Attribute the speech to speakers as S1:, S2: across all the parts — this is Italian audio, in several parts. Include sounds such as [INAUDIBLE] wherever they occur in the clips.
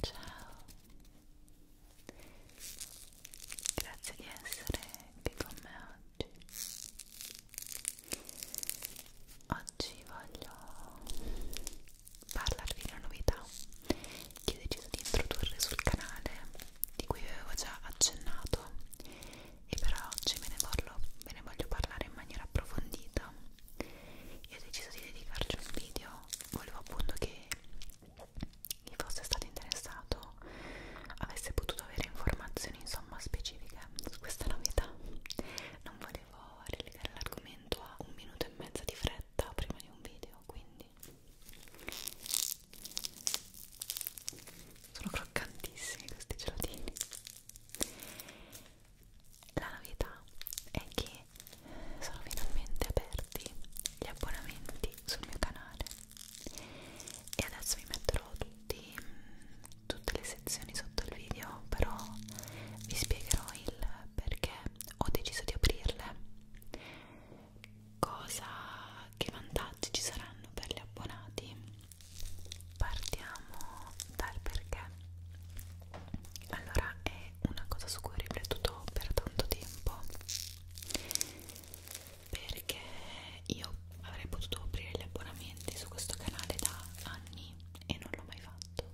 S1: Ciao, grazie di essere qui con me oggi. Oggi voglio parlarvi di una novità che ho deciso di introdurre sul canale, di cui avevo già accennato, e però oggi ve ne voglio, ve ne voglio parlare in maniera approfondita io ho deciso di dedicarci un video volevo appunto che chi fosse stato interessato avesse potuto avere informazioni insomma specifiche su questa novità non volevo relegare l'argomento a un minuto e mezzo di fretta prima di un video quindi sono croccantissimi questi gelatini la novità è che sono finalmente aperti gli abbonamenti sul mio canale e adesso vi metterò tutti, tutte le sezioni sotto il video, però vi spiegherò il perché ho deciso di aprirle, cosa, che vantaggi ci saranno per gli abbonati. Partiamo dal perché allora è una cosa su cui ho riflettuto per tanto tempo perché io avrei potuto aprire gli abbonamenti su questo canale da anni e non l'ho mai fatto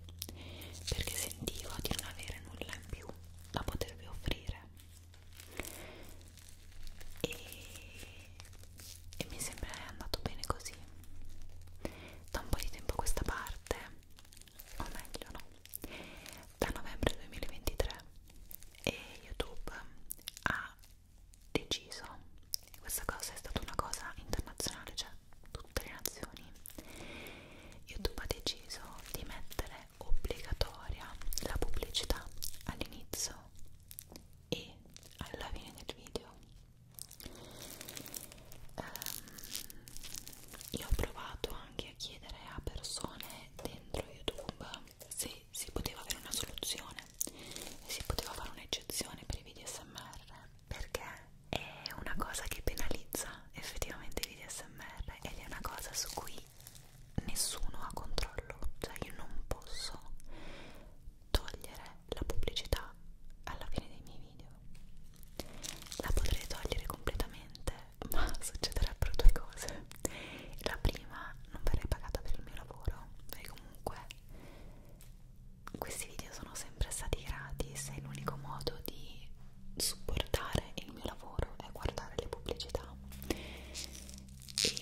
S1: perché sentivo di non avere nulla in più da potervi offrire e, e mi sembra è andato bene così da un po' di tempo a questa parte, o meglio no, da novembre 2023 e YouTube ha deciso, e questa cosa è stata una cosa internazionale, cioè tutte le nazioni, YouTube ha deciso di mettere obbligatoria la pubblicità all'inizio e alla fine del video Um, io ho provato anche a chiedere a persone dentro YouTube se si poteva avere una soluzione, se si poteva fare un'eccezione per i video SMR, perché è una cosa che penalizza effettivamente i video SMR ed è una cosa su cui nessuno ha controllo, cioè io non posso togliere la pubblicità alla fine dei miei video la potrei togliere completamente [LAUGHS] ma succederebbero due cose la prima non verrei pagata per il mio lavoro perché comunque questi video sono sempre stati gratis e l'unico modo di supportare il mio lavoro è guardare le pubblicità e,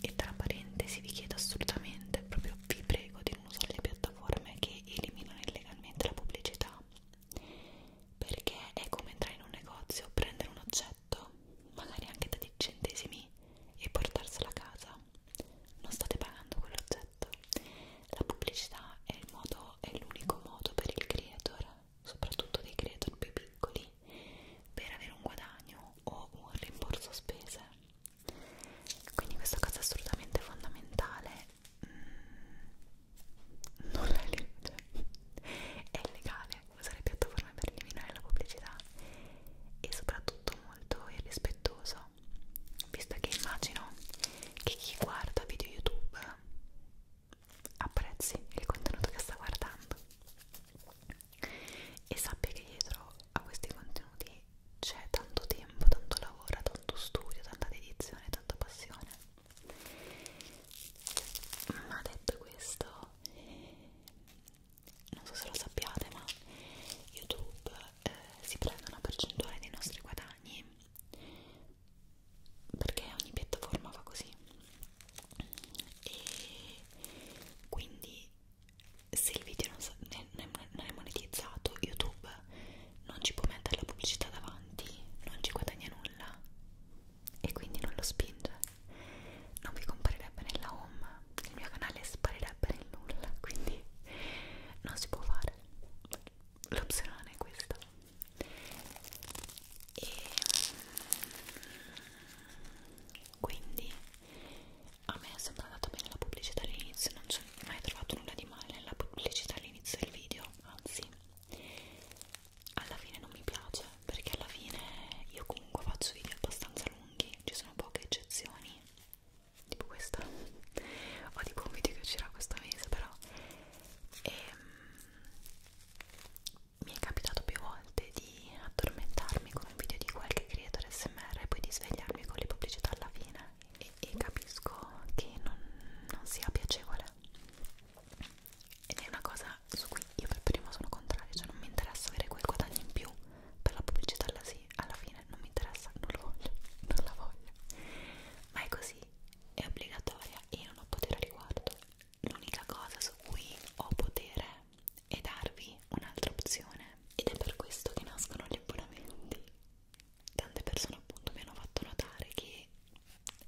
S1: e tra parentesi vi chiedo assolutamente proprio vi prego di vogliono usare le piattaforme che eliminano illegalmente la pubblicità perché è come entrare in un negozio, prendere un oggetto, magari anche da 10 centesimi, e portarselo a casa. Non state pagando quell'oggetto. La pubblicità è l'unico modo, modo per il creator, soprattutto dei creator più piccoli, per avere un guadagno o un rimborso spese quindi questa cosa è assolutamente fondamentale mm, non la legge è illegale usare piattaforme per eliminare la pubblicità e soprattutto molto irrispettoso visto che immagino che chi guarda video youtube apprezzi il contenuto che sta guardando e sappia che dietro a questi contenuti c'è tanto tempo, tanto lavoro, tanto studio, tanta dedizione, tanta passione. Ma detto questo, non so se lo sappiate, ma YouTube eh, si prende una percentuale dei nostri guadagni perché ogni piattaforma fa così e quindi se il video non, so, non è monetizzato YouTube non ci può mettere la pubblicità davanti non ci guadagna nulla e quindi non lo spinge non vi comparirebbe nella home il mio canale sparirebbe nel nulla quindi non si può fare l'opzione è questa e mm, quindi a me è sempre andata bene la pubblicità all'inizio non ci ho mai trovato nulla di male nella pubblicità all'inizio del video anzi alla fine non mi piace perché alla fine io comunque faccio video abbastanza lunghi ci sono poche eccezioni tipo questa [LAUGHS] o tipo un video che uscirà questo mese però e, um, mi è capitato più volte di di addormentarmi con un video di qualche creatore smr e poi di svegliarmi con le pubblicità alla fine e, e capisco che non, non sia piacevole ed è una cosa su cui io per primo sono contrario cioè non mi interessa avere quel guadagno in più per la pubblicità alla, sì, alla fine non mi interessa, non lo voglio, non la voglio ma è così, è obbligatoria e io non ho potere a riguardo l'unica cosa su cui ho potere e darvi un'altra opzione ed è per questo che nascono gli abbonamenti tante persone appunto mi hanno fatto notare che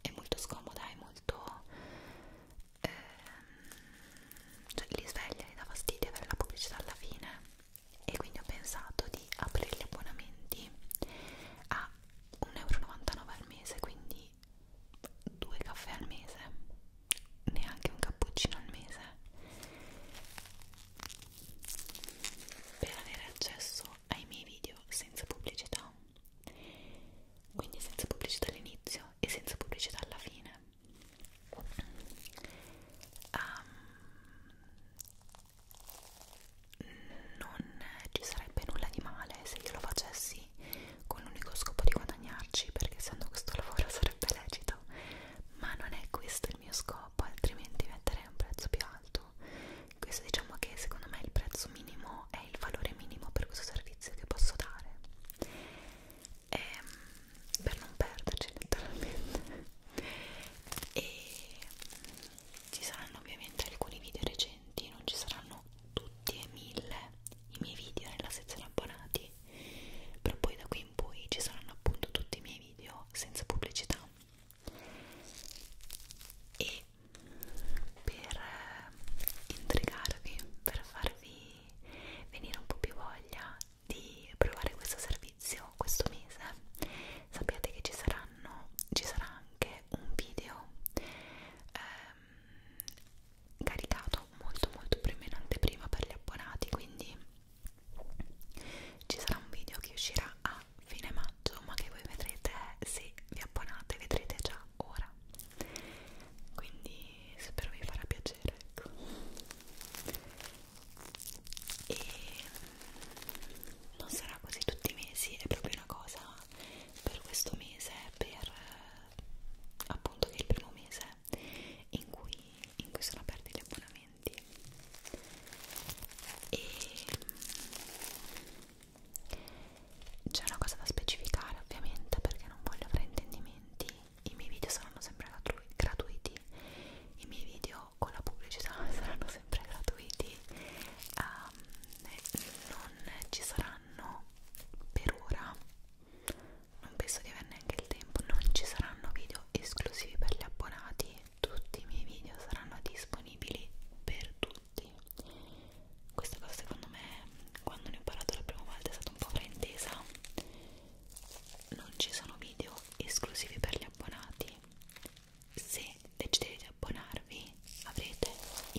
S1: è molto scomoda è molto ehm, cioè li sveglia li dà fastidio avere la pubblicità alla fine e quindi ho pensato di aprire gli abbonamenti a 1,99 euro al mese quindi due caffè al mese neanche un cappuccino al mese per avere accesso ai miei video senza pubblicità quindi senza pubblicità all'inizio e senza pubblicità alla fine um, non ci sarebbe nulla di male se io lo facessi con l'unico scopo di guadagnarci perché essendo questo lavoro sarebbe lecito ma non è questo il mio scopo altrimenti metterei un prezzo più alto questo diciamo che secondo me il prezzo minimo è il valore minimo per questo servizio che posso dare e, ehm, per non perderci letteralmente e ci saranno ovviamente alcuni video recenti non ci saranno tutti e mille i miei video nella sezione abbonati però poi da qui in poi ci saranno appunto tutti i miei video senza pubblicità e per eh, intrigarvi per farvi venire un po' più voglia di provare questo servizio questo mese sappiate che ci saranno ci sarà anche un video eh, Ehm, caricato molto molto prima in anteprima per gli abbonati quindi ci sarà un video che uscirà a fine maggio ma che voi vedrete se vi abbonate vedrete già ora quindi spero vi farà piacere ecco e mm, non sarà così tutti i mesi è proprio una cosa per questo mese per appunto che è il primo mese in cui, in cui sono aperti gli abbonamenti e mm, c'è una cosa da specificare ovviamente perché non voglio fraintendimenti i miei video saranno sempre gratuiti i miei video con la pubblicità [LAUGHS] saranno sempre gratuiti um, non ci saranno per ora non penso di avere neanche il tempo non ci saranno video esclusivi per gli abbonati tutti i miei video saranno disponibili per tutti questa cosa secondo me quando ne ho parlato la prima volta è stata un po' fraintesa non ci sono video esclusivi per gli abbonati se decidete di abbonarvi avrete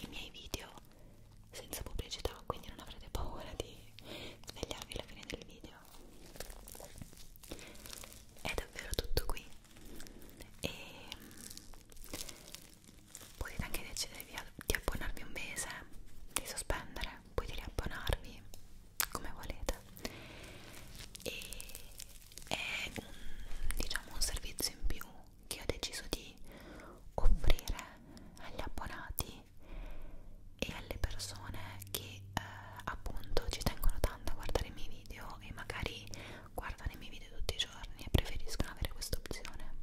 S1: i miei video senza pubblicità quindi non avrete paura di svegliarvi alla fine del video è davvero tutto qui e mm, potete anche decidere di abbonarvi un mese di sospendere potete riabbonarvi come volete e è un, diciamo un servizio in più che ho deciso di offrire agli abbonati e alle persone che eh, appunto ci tengono tanto a guardare i miei video e magari guardano i miei video tutti i giorni e preferiscono avere questa opzione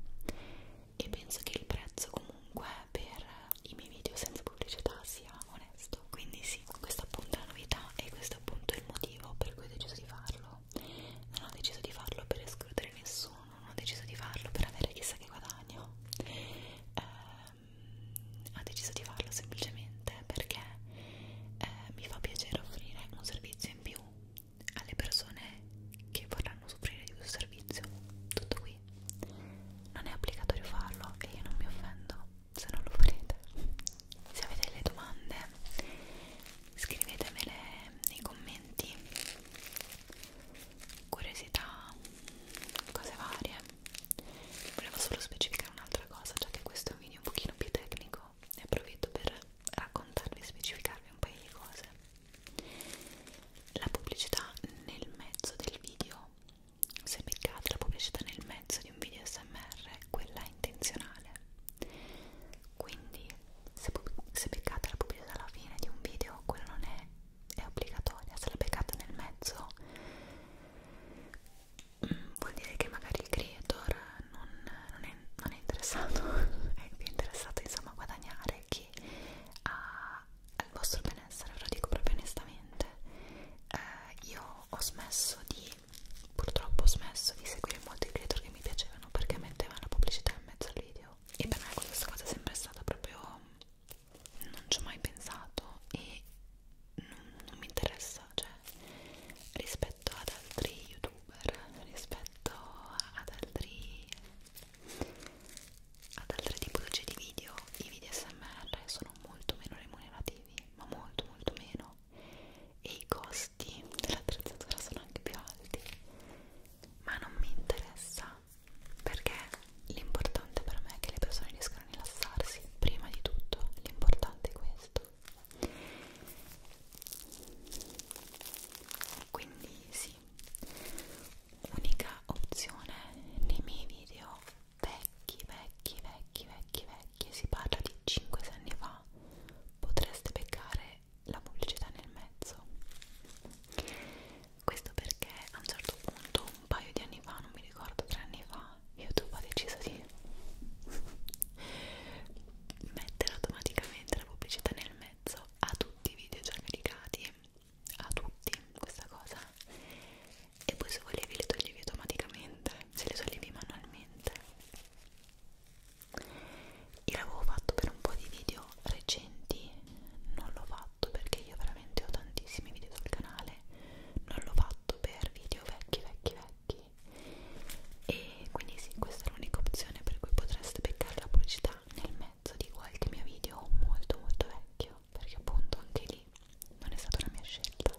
S1: e penso che il prezzo comunque per i miei video senza pubblicità sia onesto quindi sì, questa appunto è la novità e questo appunto è il motivo per cui ho deciso di farlo non ho deciso di farlo per escludere nessuno ho deciso di farlo per avere chissà che guadagno eh, ho deciso di farlo semplicemente perché eh, mi fa piacere offrire un servizio in più alle persone che vorranno soffrire di questo servizio tutto qui non è obbligatorio farlo e io non mi offendo se non lo farete se avete delle domande scrivetemele nei commenti curiosità, cose varie. Volevo solo specificare un'altra cosa, già che questo è un video un pochino più tecnico e approfitto per raccontarvi e specificarvi un paio di cose. La pubblicità nel mezzo del video, se beccate la pubblicità nel mezzo di un video SMR, quella è intenzionale quindi se, se beccate la pubblicità alla fine di un video quello non è, è obbligatoria se la beccate nel mezzo mm, vuol dire che magari il creator non, non, è, non è interessato [LAUGHS] è più interessato insomma a guadagnare che a, al vostro benessere ve lo dico proprio onestamente eh, io ho smesso di purtroppo ho smesso di seguire molti creator che mi piacevano perché mettevano la pubblicità in mezzo al video e per me questa cosa è sempre stata proprio non ci ho mai pensato e non, non mi interessa cioè rispetto ad altri youtuber rispetto ad altri ad altre tipologie di video i video smr sono molto meno remunerativi ma molto molto meno e i costi costi dell'attrezzatura sono anche più alti ma non mi interessa perché l'importante per me è che le persone riescano a rilassarsi prima di tutto l'importante è questo quindi sì unica opzione nei miei video vecchi vecchi vecchi vecchi vecchi si parla di 5-6 anni fa potreste beccare mettere la pubblicità nel mezzo questo perché a un certo punto un paio di anni fa non mi ricordo tre anni fa youtube ha deciso di [LAUGHS] mettere automaticamente la pubblicità nel mezzo a tutti i video già caricati a tutti questa cosa e poi se volevi li toglievi automaticamente se li toglievi manualmente io l'avevo fatto per un po' di video recenti non l'ho fatto perché io veramente ho tantissimi video sul canale non l'ho fatto per video vecchi vecchi vecchi e quindi sì questa è l'unica opzione per cui potreste beccare la pubblicità nel mezzo di qualche mio video molto molto vecchio perché appunto anche lì non è stata una mia scelta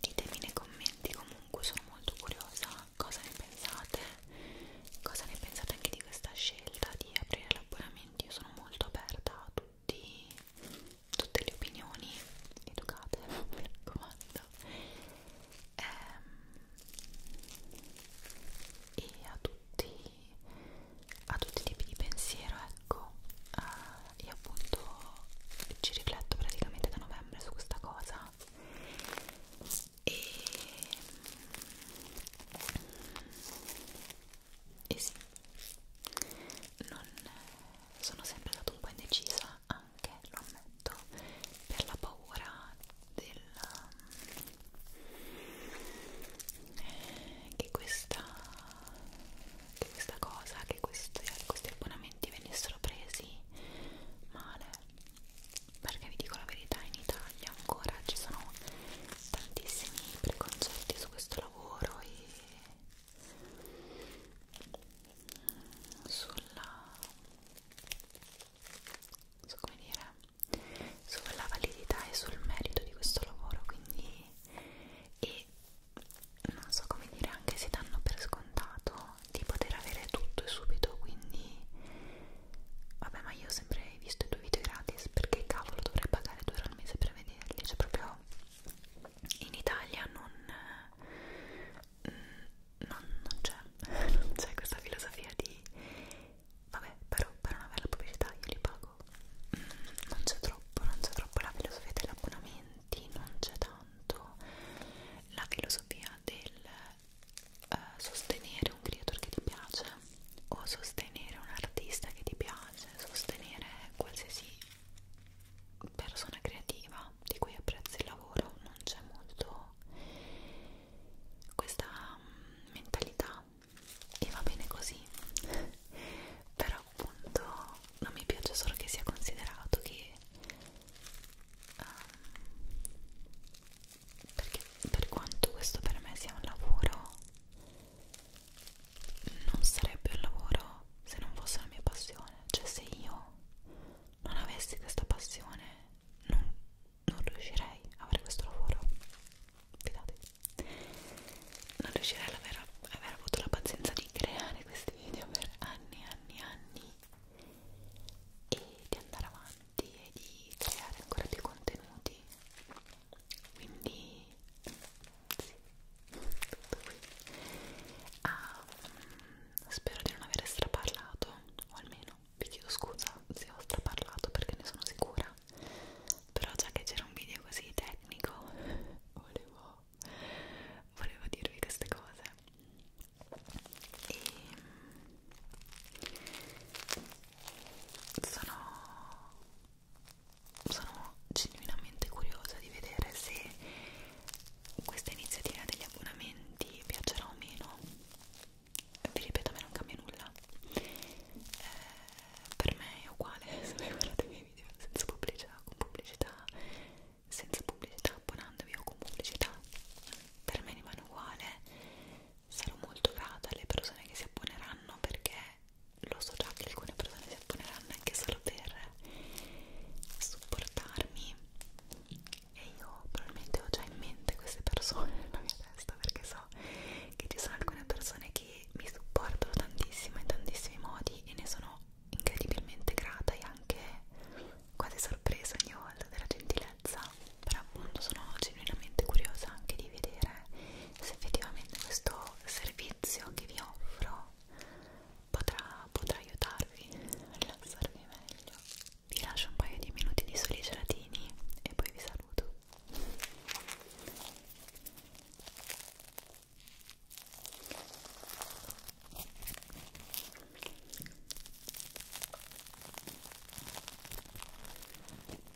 S1: Ditemi nei commenti comunque, sono molto curiosa cosa ne pensate, cosa ne pensate anche di questa scelta di aprire l'abbonamento, io sono molto aperta a tutti tutte le opinioni educate, [LAUGHS] mi raccomando e, ehm, e a, tutti, a tutti i tipi di pensiero ecco uh, io appunto ci rifletto praticamente da novembre su questa cosa e, e sì non, sono sempre stata un po' indecisa a anche, lo ammetto, per la paura del eh, che questa che questa cosa, che questi, questi abbonamenti venissero presi male perché vi dico la verità, in Italia ancora ci sono tantissimi preconcetti su questo lavoro e sulla so come dire sulla validità e sul merito di questo lavoro quindi e non so come dire anche se danno per scontato di poter avere tutto e subito quindi vabbè ma io ho sempre visto i tuoi video gratis perché cavolo dovrei pagare 2 euro al mese per vederli cioè proprio in Italia non Mm, non, non c'è [LAUGHS] non c'è questa filosofia di vabbè però per una bella pubblicità io li pago mm, non c'è troppo non c'è troppo la filosofia degli abbonamenti non c'è tanto la filosofia del eh, sostenere un creator che ti piace o sostenere un artista che ti piace sostenere qualsiasi persona creativa di cui apprezzi il lavoro non c'è molto questa mm, mentalità e va bene così [LAUGHS] però appunto non mi piace solo che sia considerato che um, perché per quanto questo per me sia un lavoro non sarebbe un lavoro se non fosse la mia passione cioè se io non avessi questa passione non, non riuscirei a avere questo lavoro Fidate. non riuscirei ad aver, aver avuto la pazienza di creare questi video per anni e anni e anni e di andare avanti e di creare ancora più contenuti quindi sì, tutto qui um, spero di non aver straparlato o almeno vi chiedo scusa se ho straparlato perché ne sono sicura però già che c'era un video così tecnico [LAUGHS] volevo, volevo dirvi queste cose e mm, sono sono genuinamente curiosa di vedere se questa iniziativa degli abbonamenti piacerà o meno vi ripeto a me non cambia nulla eh, per me è uguale [LAUGHS] se voi guardate i miei video senza pubblicità con pubblicità senza pubblicità abbonandovi o con pubblicità per me rimane uguale sarò molto grata alle persone che si abboneranno perché lo so già che alcune persone si apponeranno anche solo per supportarmi e io probabilmente ho già in mente queste persone [LAUGHS] nella mia testa perché so che ci sono alcune persone che mi supportano tantissimo in tantissimi modi e ne sono incredibilmente grata e anche quasi sorpresa ogni volta della gentilezza però appunto sono genuinamente curiosa anche di vedere se effettivamente questo servizio che vi offro potrà, potrà aiutarvi a rilassarvi meglio. Vi lascio un paio di minuti di soli gelatini e poi vi saluto.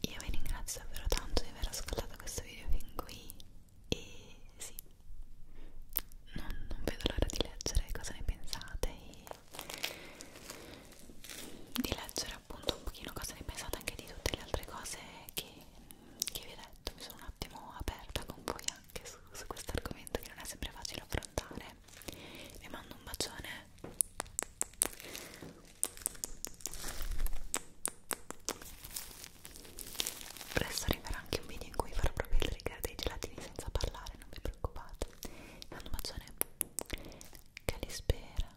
S1: Io vi ringrazio davvero tanto di aver ascoltato questo video fin qui e sì, non, non vedo l'ora di leggere cosa ne pensate e di leggere appunto un pochino cosa ne pensate anche di tutte le altre cose che che vi ho detto mi sono un attimo aperta con voi anche su, su questo argomento che non è sempre facile affrontare vi mando un bacione presto arriverà anche un video in cui farò proprio il trigger dei gelatini senza parlare non vi preoccupate vi mando un bacione che li spera